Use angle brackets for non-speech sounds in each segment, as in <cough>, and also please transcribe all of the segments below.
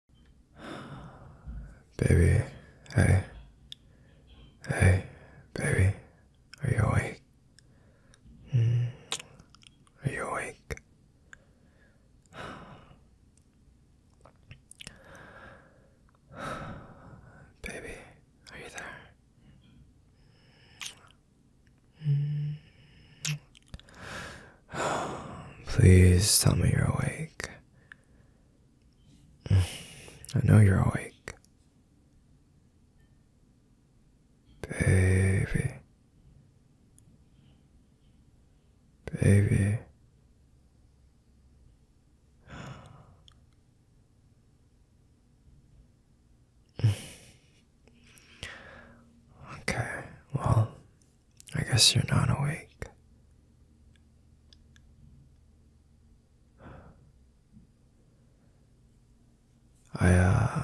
<sighs> Baby, hey. Hey, baby, are you awake? Mm. Are you awake? <sighs> baby, are you there? Mm. <sighs> Please tell me you're awake. <sighs> I know you're awake. Baby. Baby. <sighs> Okay, well, I guess you're not awake. I, uh,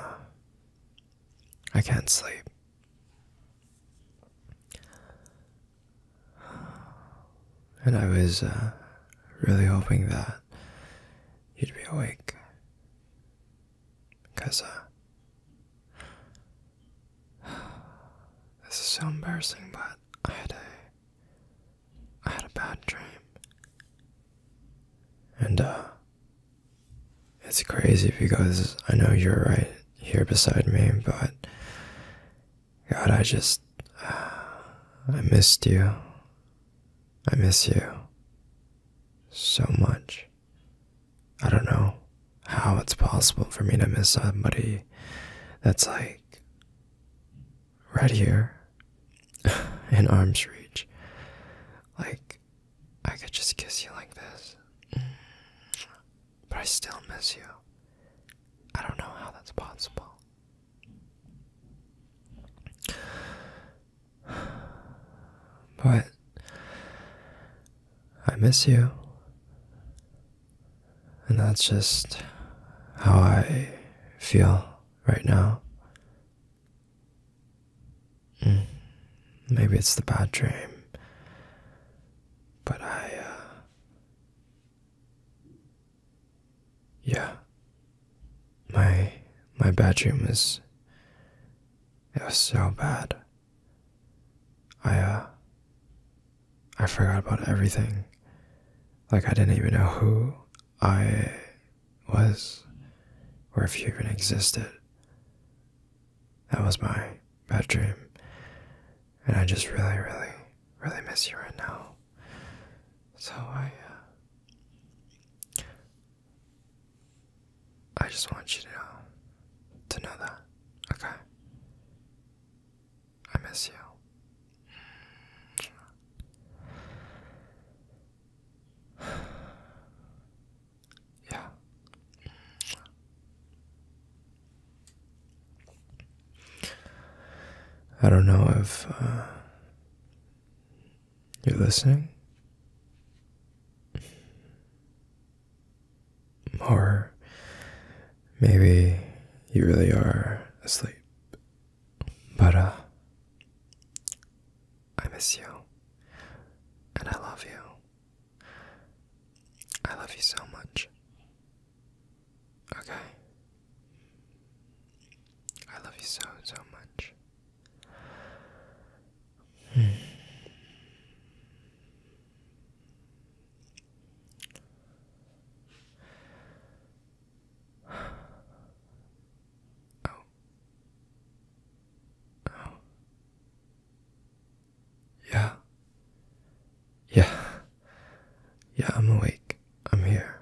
I can't sleep. And I was uh, really hoping that you'd be awake. Because uh, <sighs> This is so embarrassing, but I had a I had a bad dream. And uh it's crazy because I know you're right here beside me, but God, I just <sighs> I missed you. I miss you so much. I don't know how it's possible for me to miss somebody that's like right here <laughs> in arm's reach. Like, I could just kiss you like this, but I still miss you. I don't know how that's possible. <sighs> But I miss you. And that's just how I feel right now. Mm. Maybe it's the bad dream, but I, uh, yeah, my my bad dream was it was so bad. I uh, I forgot about everything. Like I didn't even know who I was or if you even existed. That was my bad dream. And I just really, really, really miss you right now. So I uh, I just want you to know to know that. Okay. I miss you. <sighs> yeah. I don't know if uh, you're listening. Or maybe you really are asleep. But, uh, I miss you. And I love you. I love you so much. Okay. I love you so, so much. Hmm. Oh. Oh. Yeah. Yeah. Yeah, I'm awake. I'm here.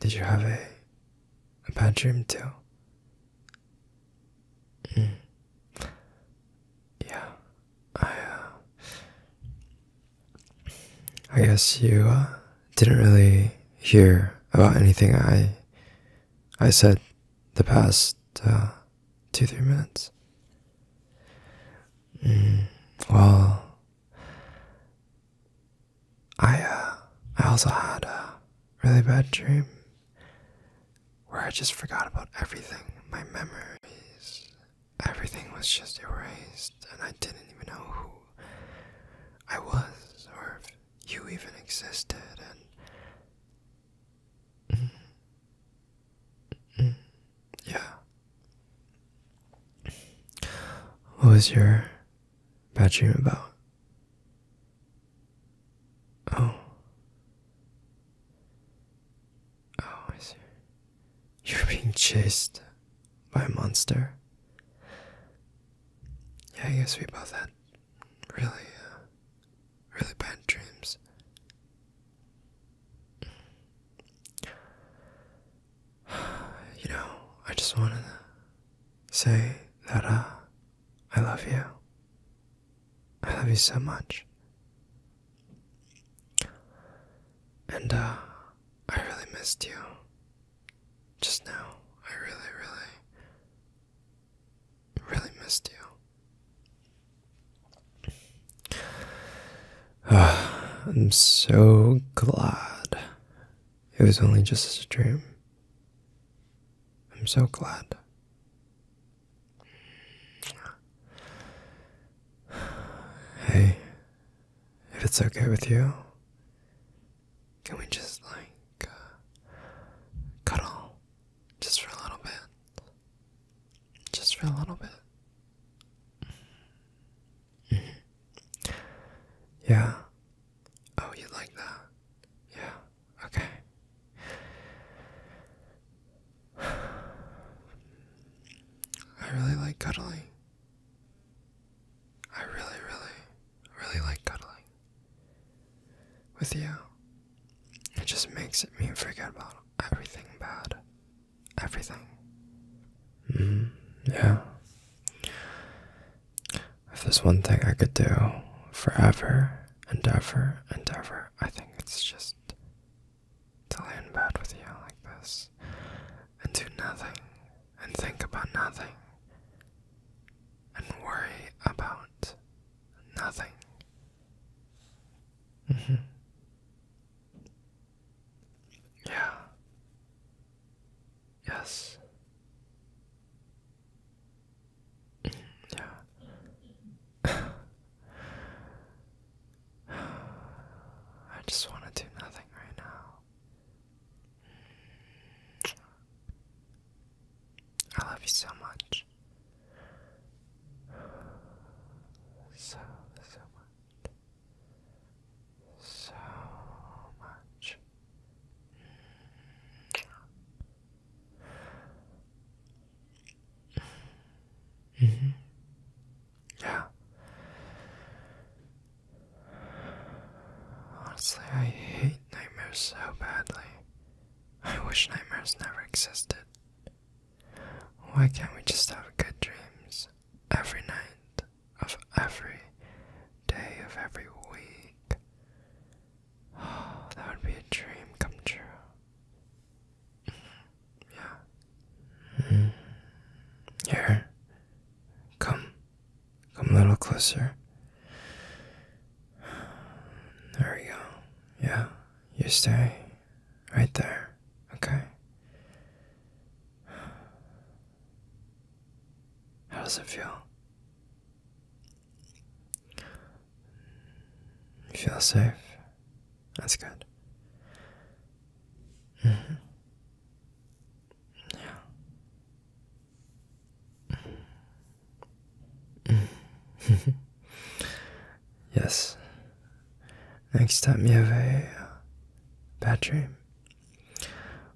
Did you have a a bad dream too? Mm. Yeah, I, uh, I guess you uh, didn't really hear about anything I, I said the past uh, two three minutes. Mm, well, I I also had a really bad dream where I just forgot about everything my memories. Everything was just erased, and I didn't even know who I was or if you even existed. And <laughs> yeah. What was your bad dream about? Oh. Oh, I see. You're <laughs> being chased by a monster. Yeah, I guess we both had really, uh, really bad dreams. <sighs> You know, I just wanted to say that uh, I love you. I love you so much. And, uh, I really missed you. Just now, I really, really, really missed you. <sighs> I'm so glad it was only just a dream. I'm so glad Hey, if it's okay with you, can we just like uh, cuddle just for a little bit? Just for a little bit. Mm-hmm. Yeah. Oh, you like that? Yeah. Okay. I really like cuddling. I really, really, really like cuddling with you. It just makes it me forget about everything bad. Everything. Mm-hmm. Yeah. If there's one thing I could do forever and ever and ever, I think it's just to lay in bed with you like this and do nothing and think about nothing and worry about nothing. Mm-hmm. Yeah. Yes. Mm-hmm. yeah. <sighs> I just want to do nothing right now. I love you so much. So, so much. So much. Mm-hmm. Yeah. I hate nightmares so badly. I wish nightmares never existed. Why can't we just have good dreams every night of every day of every week? Oh, <sighs> that would be a dream come true. Yeah. Here. Come. Come a little closer. There we go. Yeah. You stay right there. Okay. How does it feel? You Feel safe. That's good. Mm-hmm. Yeah. <laughs> yes. Next time you have a uh, bad dream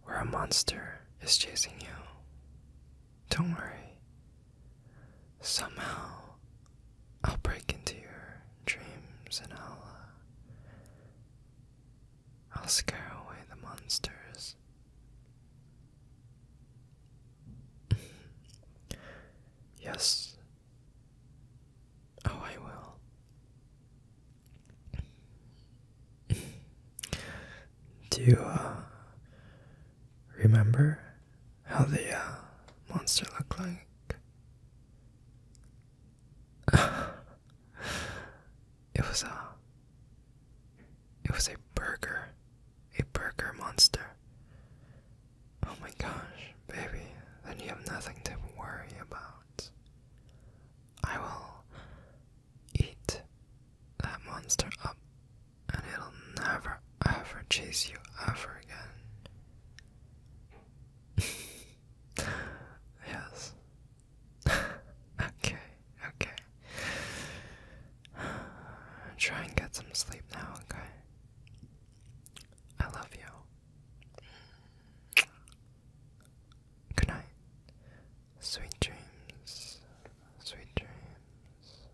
where a monster is chasing you, don't worry. Somehow, I'll break into your dreams and I'll, uh, I'll scare away the monsters. <laughs> yes. Oh, I will. <laughs> Do you, uh, remember how the uh, monster looked like. <laughs> it was a. Uh, it was a burger, a burger monster. Oh my gosh, baby! Then you have nothing to worry about. I will eat that monster up, and it'll never ever chase you ever again. <laughs> yes. <laughs> okay, okay. <sighs> Try and get some sleep now, okay? I love you. Good night. Sweet dreams. Sweet dreams.